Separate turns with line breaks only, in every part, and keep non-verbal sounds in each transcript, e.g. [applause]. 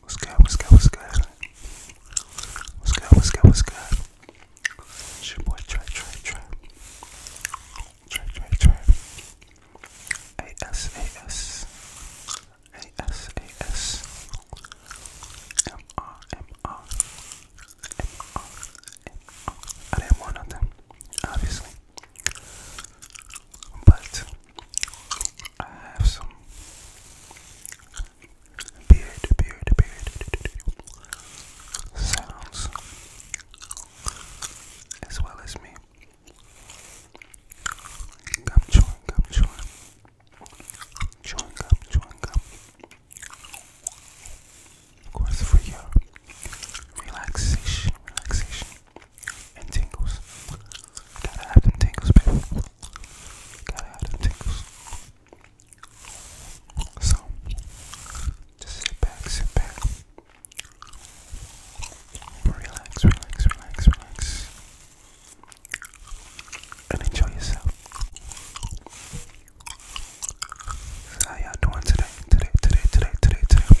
What's good? What's good? What's good? What's good? What's good? What's good? It's your boy Trey, Trey, Trey. Trey, Trey, Trey. A-S, A-S. A-S, A-S. M-R, M-R. M-R, M-R. I didn't want nothing, obviously but I have some beard, beard, beard sounds as well as me. Gum chewing, gum chewing, chewing gum, chewing gum. Of course, for your relaxation, relaxation, and tingles. Gotta have them tingles, baby. So, just sit back, sit back. Relax, relax, relax, relax. And enjoy yourself. how y'all doing today? Today, today, today, today, today.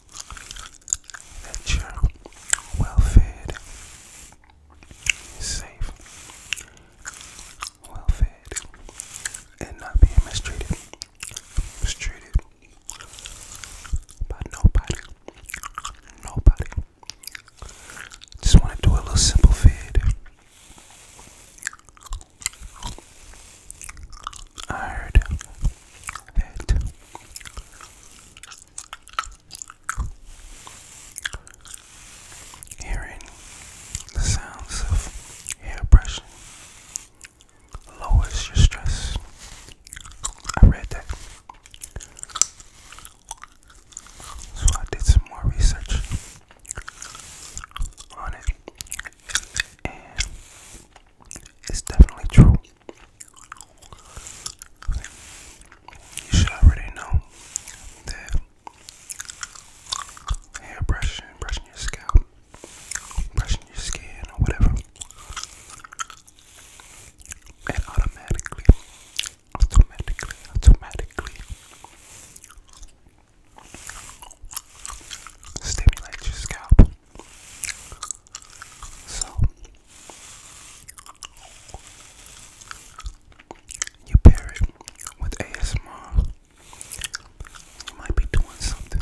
that you're well fed, safe, well fed, and not being mistreated, mistreated by nobody, nobody. Just want to do a little simple vid I heard that hearing the sounds of hair brushing lowers your stress. I read that. So I did some more research on it. It's definitely true. You should already know that hair brushing, brushing your scalp, brushing your skin, or whatever, it automatically, automatically, automatically stimulates your scalp. So you pair it with ASMR. You might be doing something.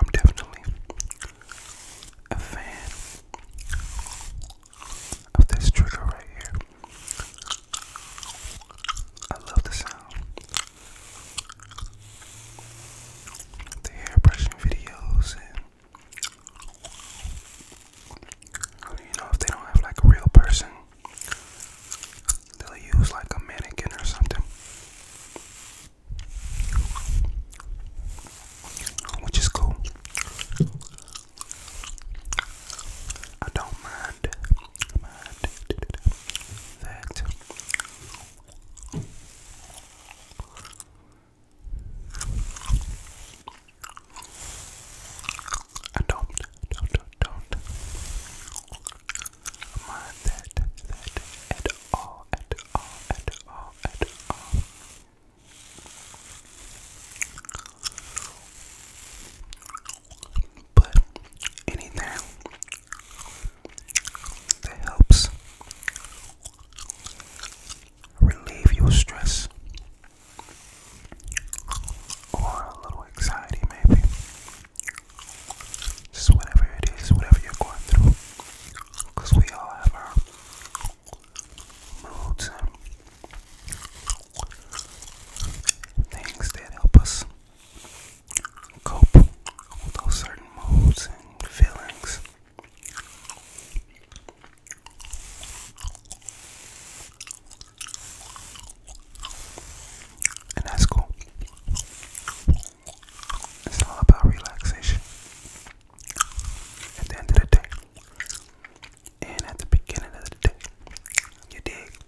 I'm definitely a fan of this trigger right here. I love the sound. The hairbrushing videos and you know if they don't have like a real person, they'll use like a mannequin or something which is cool. I don't mind, that. I don't, don't, don't, mind that, that at all, all, at all, at all. But anything that helps relieve your stress or a little anxiety, maybe. Just whatever it is, whatever you're going through. Because we all have our moods and um, things that help us cope with those certain moods and feelings. And that's cool. It's all about relaxation at the end of the day and at the beginning of the day. You dig?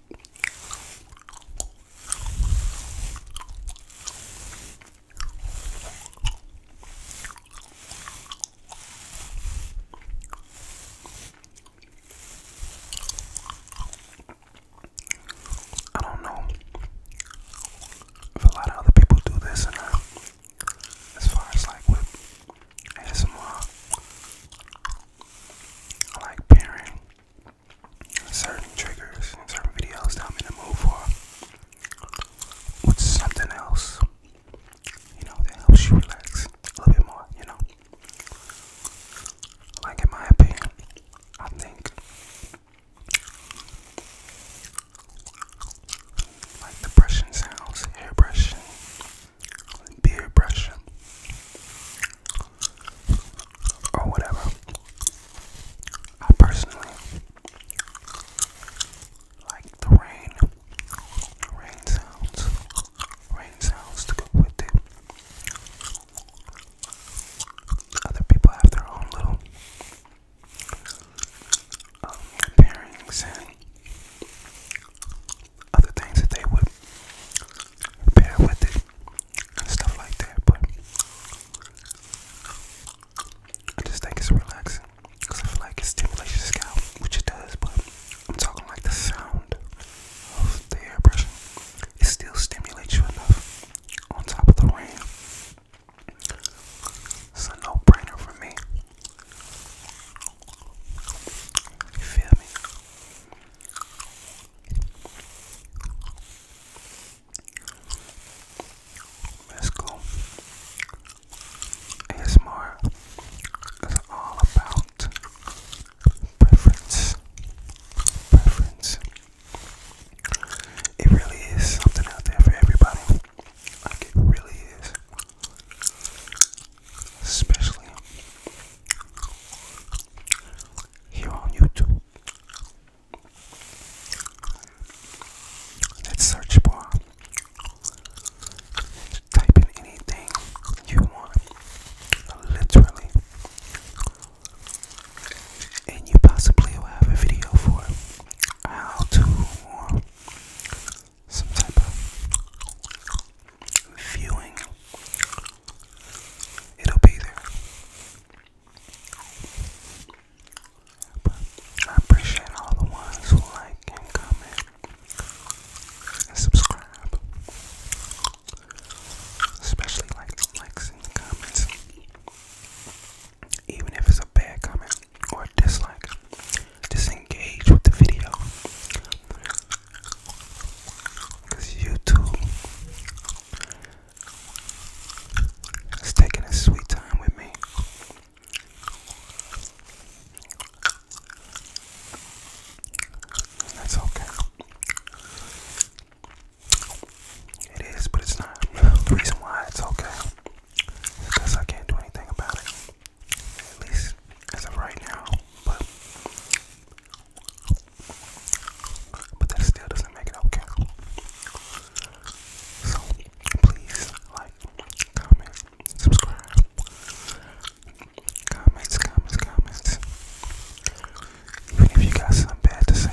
I don't know if a lot of other people do this, and uh, as far as like with ASMR, I like pairing certain triggers certain videos that I'm in the mood for with something else, you know, that helps you relax a little bit more, you know. Like, in my opinion, I think like the brushing sounds, hair brushing, beard brushing, or whatever. I personally like the rain, rain sounds, rain sounds to go with it. Other people have their own little pairings and other things that they would pair with it and stuff like that. But I just think it's relaxing because I feel like it stimulates your scalp, which it does. But I'm talking like the sound of the airbrushing. It still stimulates you enough on top of the RAM. It's a no-brainer for me. You feel me? Let's go. ASMR is all about preference. Preference. It really is something out there for everybody. it really is. Especially here on YouTube. That search bar. type in anything you want. Literally. And you possibly will have a video for it how to uh, some type of viewing. It'll be there. But I appreciate all the ones who like and comment and subscribe. Especially like the likes and the comments even if it's a bad comment or a dislike, disengage with the video because YouTube is taking its sweet time with me. That's okay. It is, but it's not. The reason why it's okay is because I can't do anything about it. At least as of right now. But but that still doesn't make it okay. So please like, comment, subscribe. Comments, comments, comments. Even if you got something bad to say,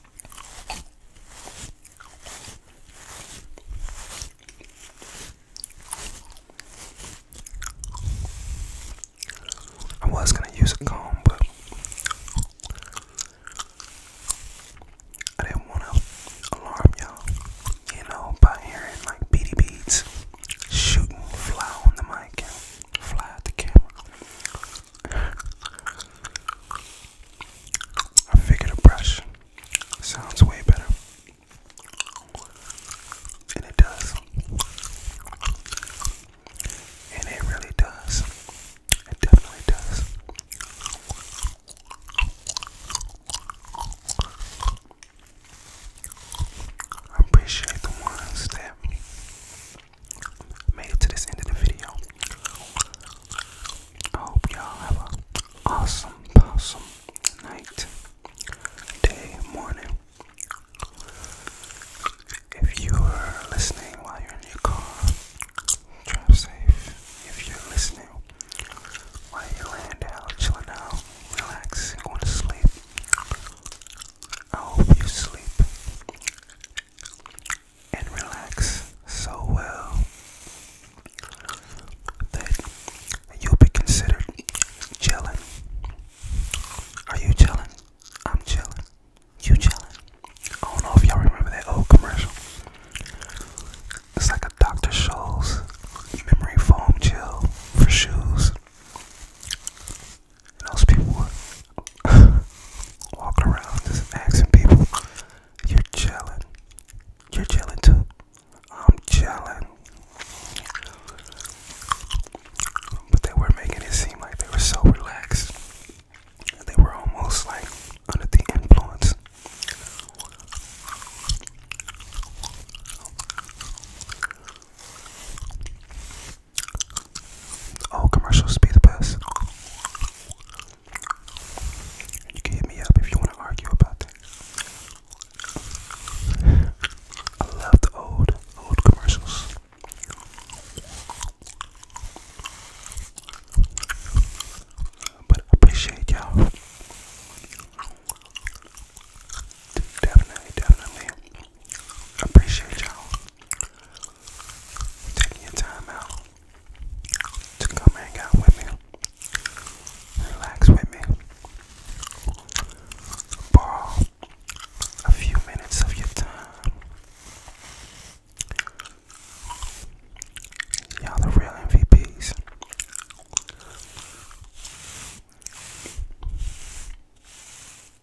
I was gonna use a comb, but I didn't want to alarm y'all, you know, by hearing like beady beads shooting fly on the mic fly at the camera. I figured a brush sounds way better. And it does. And it really does. It definitely does. I appreciate the ones that made it to this end of the video. I hope y'all have an awesome, awesome night, day, morning. If you are listening while you're in your car, drive safe. If you're listening while you're laying down, chilling out, relaxing, going to sleep, I hope you sleep and relax so well that you'll be considered chilling. Are you chilling? I'm chilling. You chilling? I don't know if y'all remember that old commercial. It's like a Dr. Scholl's memory foam chill for shoes. And those people [laughs] walk around just asking people, You're chilling. You're chilling too. I'm chilling. But they were making it seem like they were so relaxed. They were almost like under the influence. All oh, commercials be the best. You can hit me up if you want to argue about things. I love the old, old commercials. But appreciate y'all. Definitely, definitely. Appreciate y'all taking your time out to come hang out with me, relax with me, borrow a few minutes of your time. Y'all the real MVPs.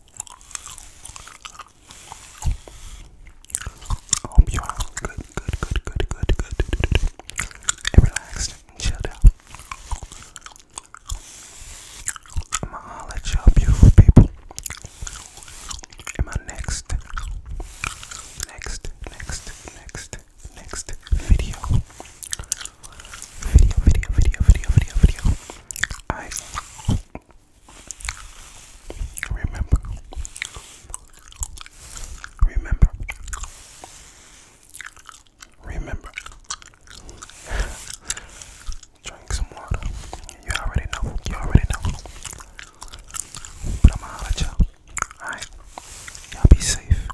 I hope you are good, good, good, good, good, good, and relaxed and out. I'm gonna holler at you beautiful people in my next, next, next, next, next video video, video, video, video, video, video. I remember, remember, remember. Drink some water. You already know. You already know. But i am going y'all. Alright. Y'all be safe.